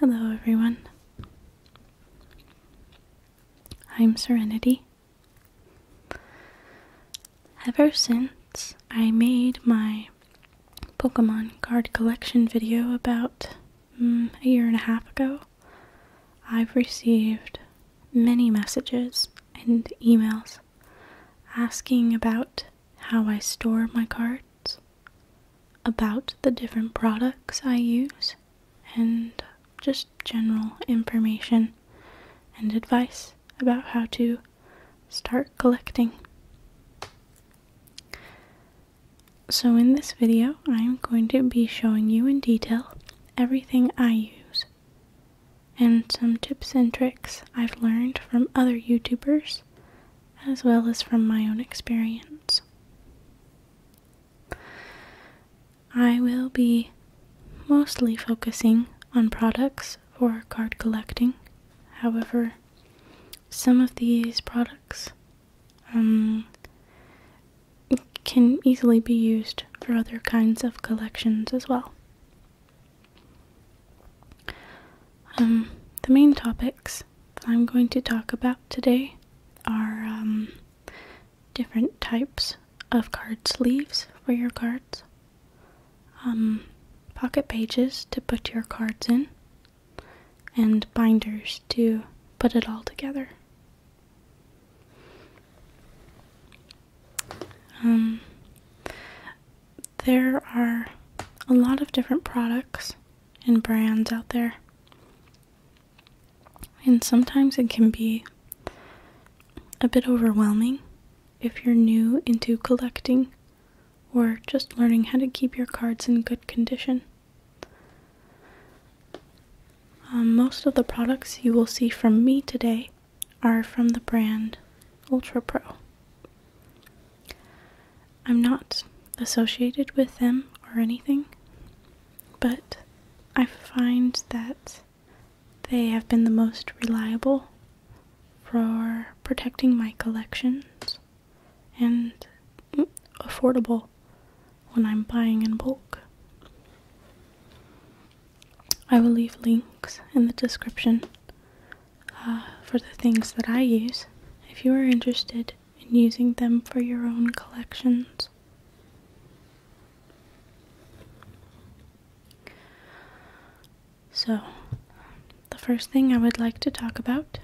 Hello, everyone. I'm Serenity. Ever since I made my Pokemon card collection video about mm, a year and a half ago, I've received many messages and emails asking about how I store my cards, about the different products I use, and just general information and advice about how to start collecting. So in this video, I am going to be showing you in detail everything I use and some tips and tricks I've learned from other YouTubers as well as from my own experience. I will be mostly focusing on products for card collecting. However, some of these products um, can easily be used for other kinds of collections as well. Um, the main topics that I'm going to talk about today are um, different types of card sleeves for your cards, um, pocket pages to put your cards in, and binders to put it all together. Um, there are a lot of different products and brands out there. And sometimes it can be a bit overwhelming if you're new into collecting or just learning how to keep your cards in good condition. Um, most of the products you will see from me today are from the brand Ultra Pro. I'm not associated with them or anything, but I find that they have been the most reliable for protecting my collections and affordable when I'm buying in bulk. I will leave links in the description uh, for the things that I use if you are interested in using them for your own collections. So, the first thing I would like to talk about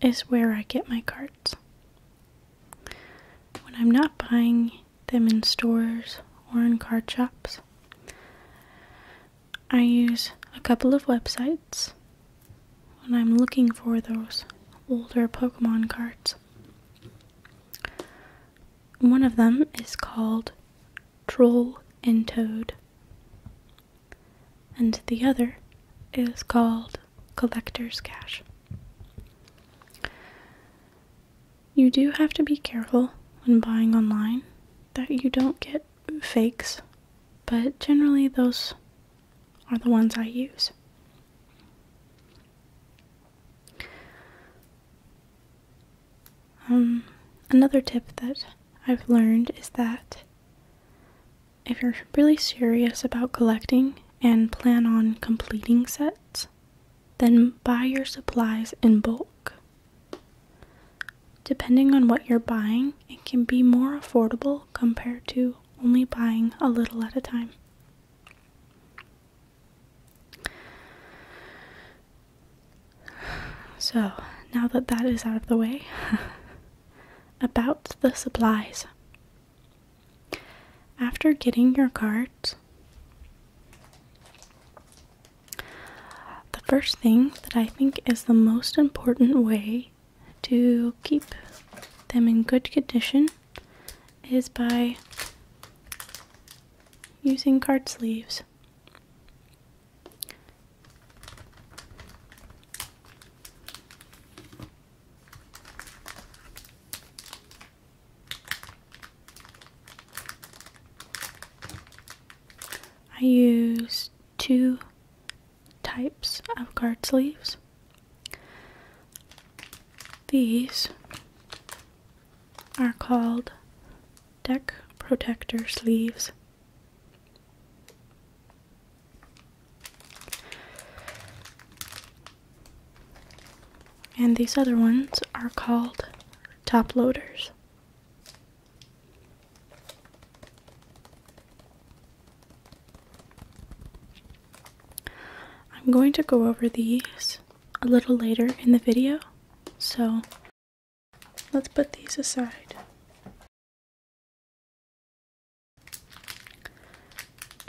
is where I get my cards. When I'm not buying them in stores or in card shops, I use a couple of websites when I'm looking for those older Pokemon cards. One of them is called Troll and Toad. And the other is called Collector's Cash. You do have to be careful when buying online that you don't get fakes, but generally those are the ones I use. Um, another tip that I've learned is that if you're really serious about collecting and plan on completing sets, then buy your supplies in bulk. Depending on what you're buying, it can be more affordable compared to only buying a little at a time. So, now that that is out of the way, about the supplies. After getting your cards, the first thing that I think is the most important way to keep them in good condition is by using card sleeves. I use two types of card sleeves. These are called deck protector sleeves and these other ones are called top loaders. I'm going to go over these a little later in the video, so Let's put these aside.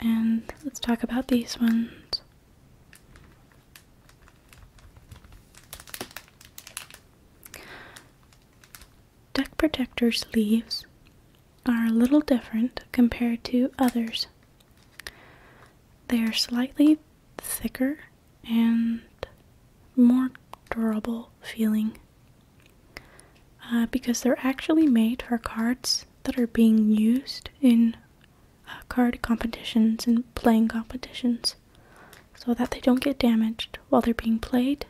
And let's talk about these ones. Deck protectors leaves are a little different compared to others. They are slightly thicker and more durable feeling uh, because they're actually made for cards that are being used in uh, card competitions and playing competitions so that they don't get damaged while they're being played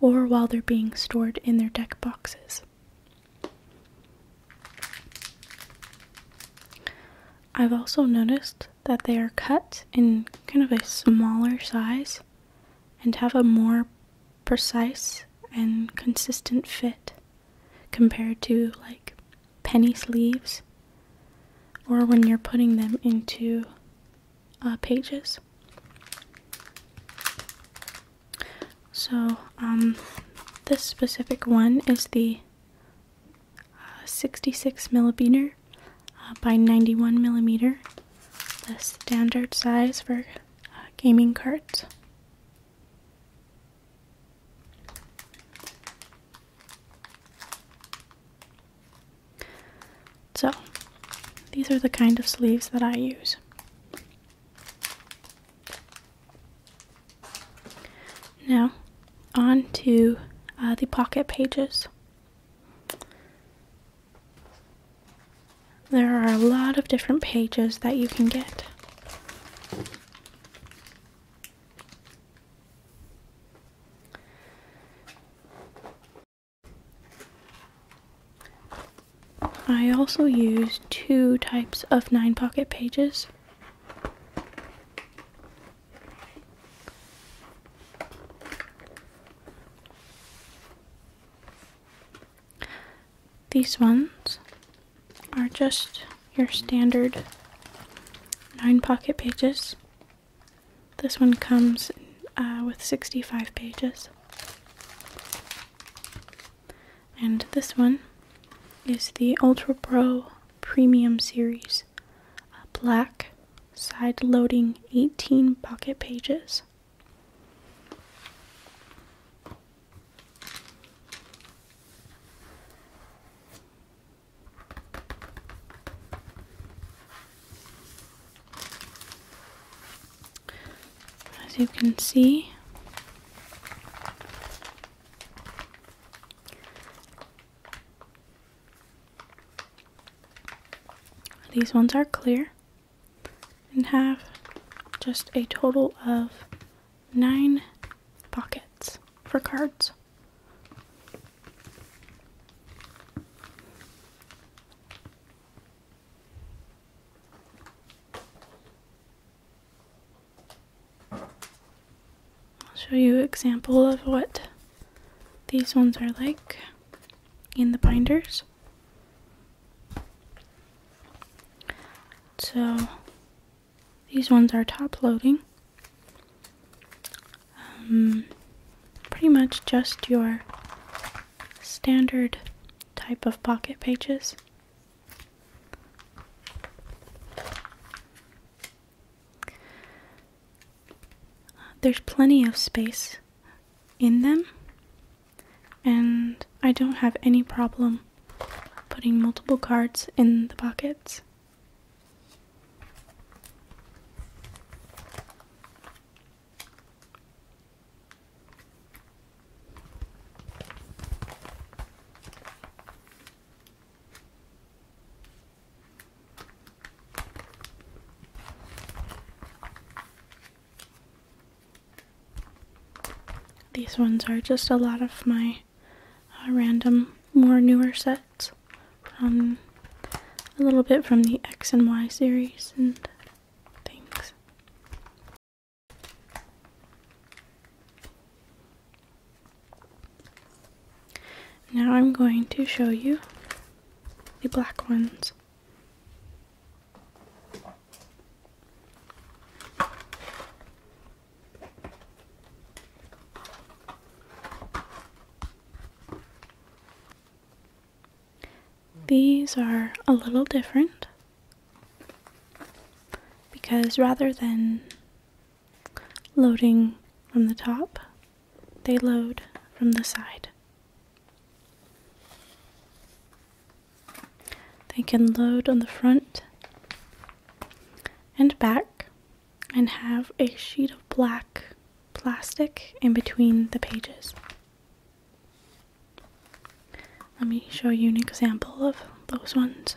or while they're being stored in their deck boxes. I've also noticed that they are cut in kind of a smaller size and have a more precise and consistent fit compared to like penny sleeves or when you're putting them into uh, pages. So, um, this specific one is the uh, 66 millimeter uh, by 91 millimeter, the standard size for uh, gaming cards. So, these are the kind of sleeves that I use. Now, on to uh, the pocket pages. There are a lot of different pages that you can get. I also use two types of nine pocket pages. These ones are just your standard nine pocket pages. This one comes uh, with 65 pages. And this one is the Ultra Pro Premium Series, a black side loading 18 pocket pages. As you can see, these ones are clear and have just a total of nine pockets for cards. I'll show you an example of what these ones are like in the binders. So these ones are top loading. Um, pretty much just your standard type of pocket pages there's plenty of space in them, and I don't have any problem putting multiple cards in the pockets. These ones are just a lot of my uh, random, more newer sets. from a little bit from the X and Y series and things. Now I'm going to show you the black ones. These are a little different because rather than loading from the top, they load from the side. They can load on the front and back and have a sheet of black plastic in between the pages. Let me show you an example of those ones.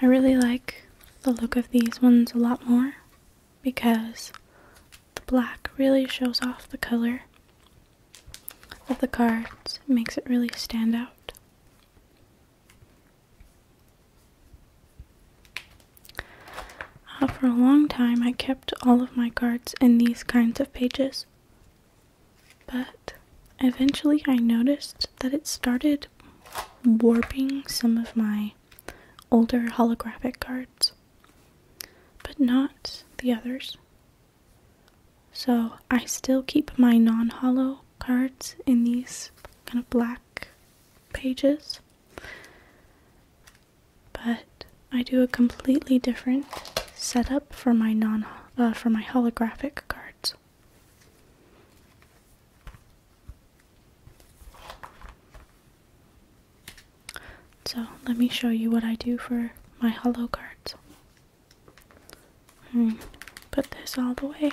I really like the look of these ones a lot more because the black really shows off the color of the cards, makes it really stand out. Uh, for a long time, I kept all of my cards in these kinds of pages, but eventually I noticed that it started warping some of my older holographic cards, but not the others. So I still keep my non hollow cards in these kind of black pages, but I do a completely different setup for my non uh, for my holographic cards. So let me show you what I do for my hollow cards. Hmm, put this all the way.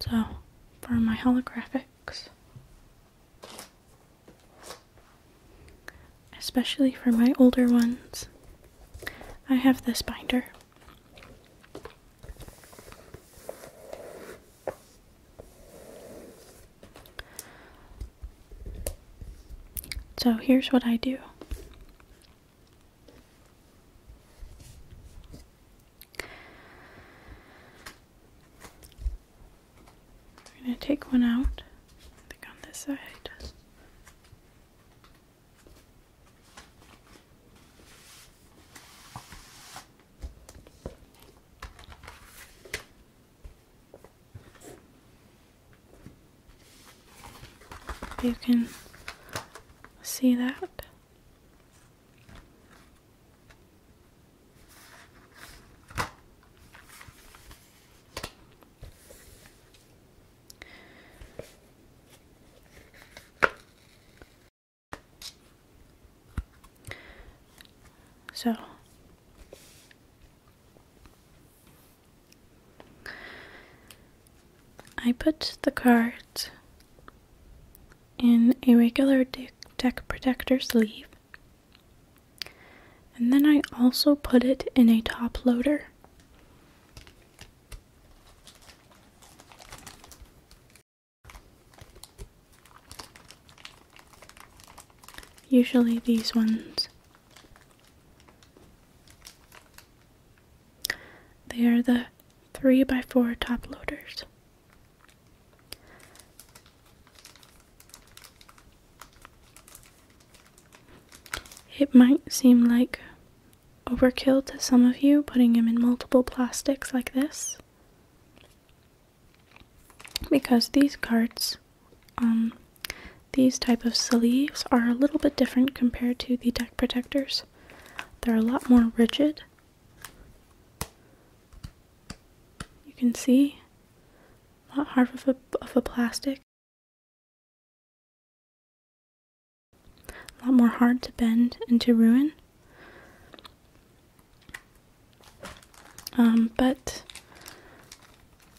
So, for my holographics, especially for my older ones, I have this binder. So here's what I do. I'm going to take one out, I think on this side. You can see that. So I put the card in a regular deck protector sleeve. And then I also put it in a top loader. Usually these ones they are the 3 by 4 top loaders. It might seem like overkill to some of you putting them in multiple plastics like this because these cards, um, these type of sleeves are a little bit different compared to the deck protectors. They're a lot more rigid you can see not half of a, of a plastic. A lot more hard to bend and to ruin. Um, but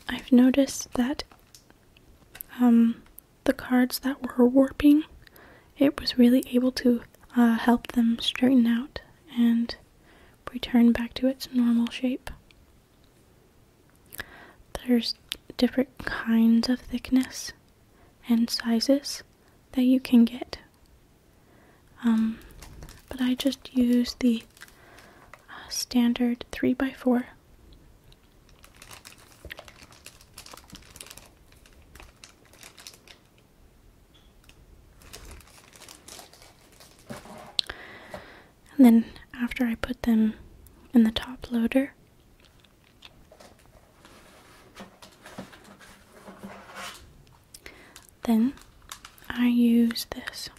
I've noticed that um, the cards that were warping, it was really able to uh, help them straighten out and return back to its normal shape. There's different kinds of thickness and sizes that you can get. Um, but I just use the uh, standard 3x4. And then after I put them in the top loader, then I use this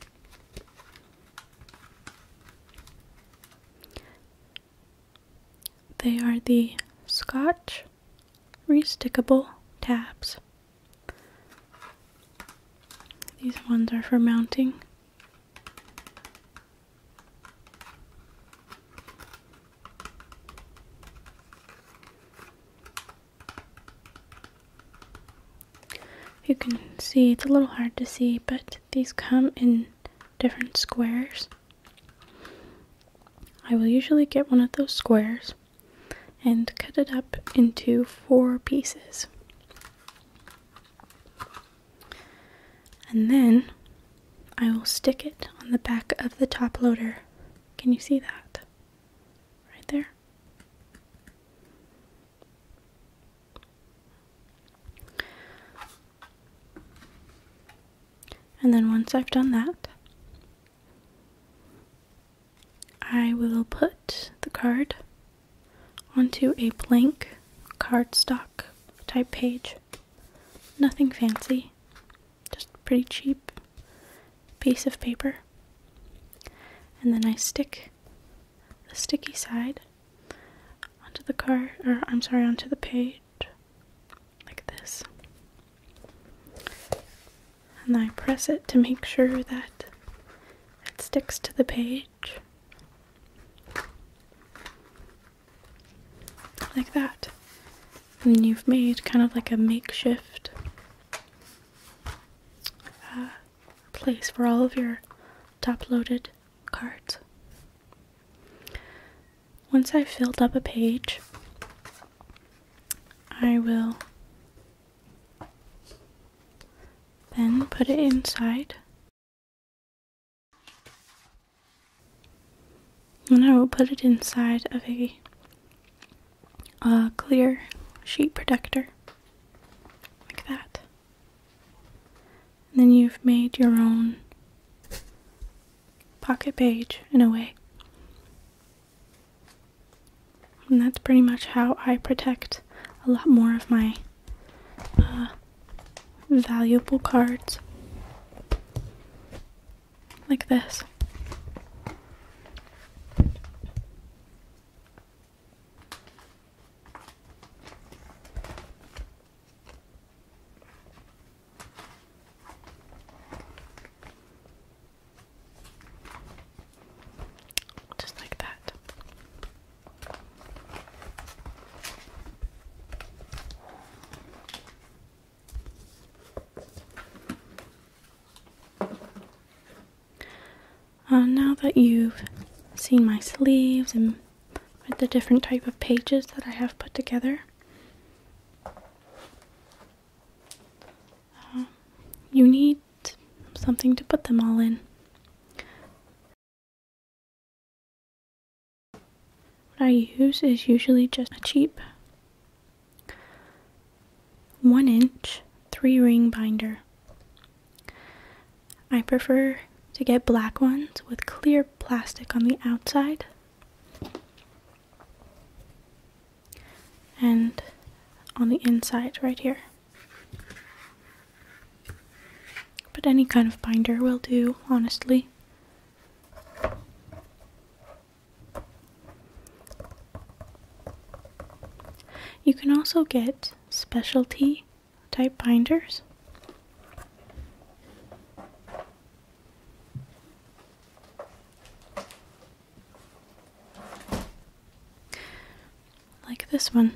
they are the Scotch Restickable Tabs. These ones are for mounting. You can see, it's a little hard to see, but these come in different squares. I will usually get one of those squares and cut it up into four pieces. And then I will stick it on the back of the top loader. Can you see that? Right there. And then once I've done that, I will put the card onto a blank cardstock type page. Nothing fancy, just pretty cheap piece of paper. And then I stick the sticky side onto the card, or I'm sorry, onto the page like this. And I press it to make sure that it sticks to the page. Like that. And you've made kind of like a makeshift uh, place for all of your top loaded cards once I've filled up a page, I will then put it inside. And I will put it inside of a, a clear sheet protector, like that. And then you've made your own pocket page in a way. And that's pretty much how I protect a lot more of my uh, valuable cards. Like this. Just like that. Uh, now that you've seen my sleeves and with the different type of pages that I have put together. Um, you need something to put them all in. What I use is usually just a cheap one inch three ring binder. I prefer to get black ones with clear plastic on the outside. And on the inside, right here. But any kind of binder will do, honestly. You can also get specialty type binders. Like this one.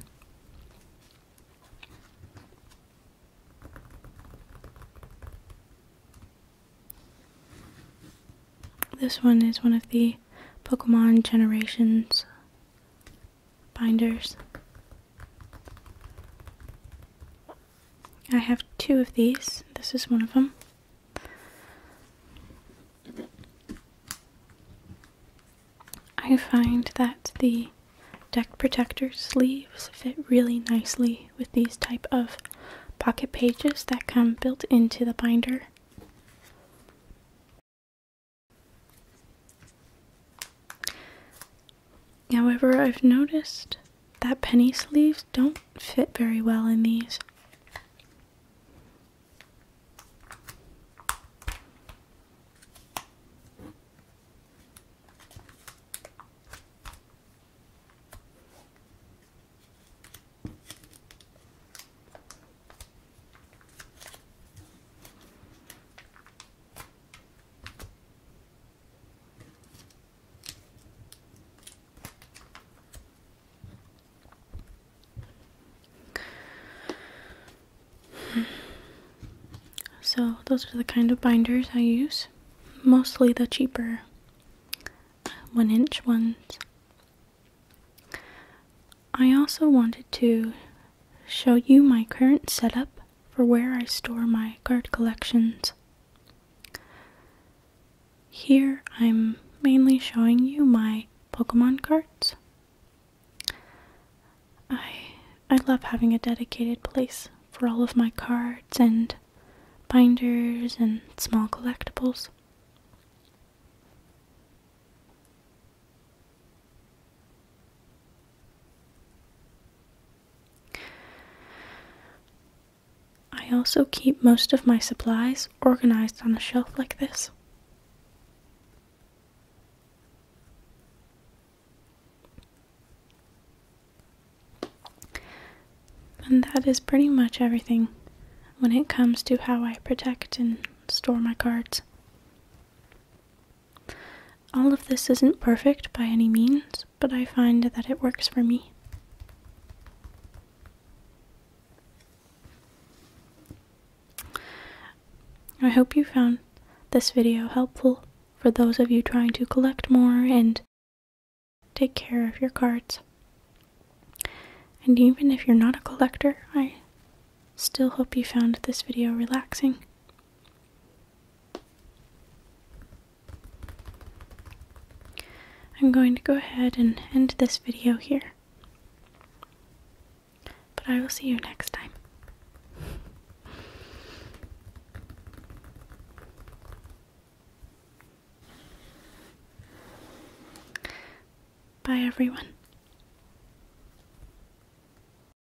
This one is one of the Pokemon Generations binders. I have two of these. This is one of them. I find that the deck protector sleeves fit really nicely with these type of pocket pages that come built into the binder. However, I've noticed that penny sleeves don't fit very well in these. So, those are the kind of binders I use. Mostly the cheaper one inch ones. I also wanted to show you my current setup for where I store my card collections. Here I'm mainly showing you my Pokemon cards. I I love having a dedicated place for all of my cards and binders and small collectibles. I also keep most of my supplies organized on a shelf like this. And that is pretty much everything when it comes to how I protect and store my cards. All of this isn't perfect by any means, but I find that it works for me. I hope you found this video helpful for those of you trying to collect more and take care of your cards. And even if you're not a collector, I still hope you found this video relaxing. I'm going to go ahead and end this video here. But I will see you next time. Bye, everyone.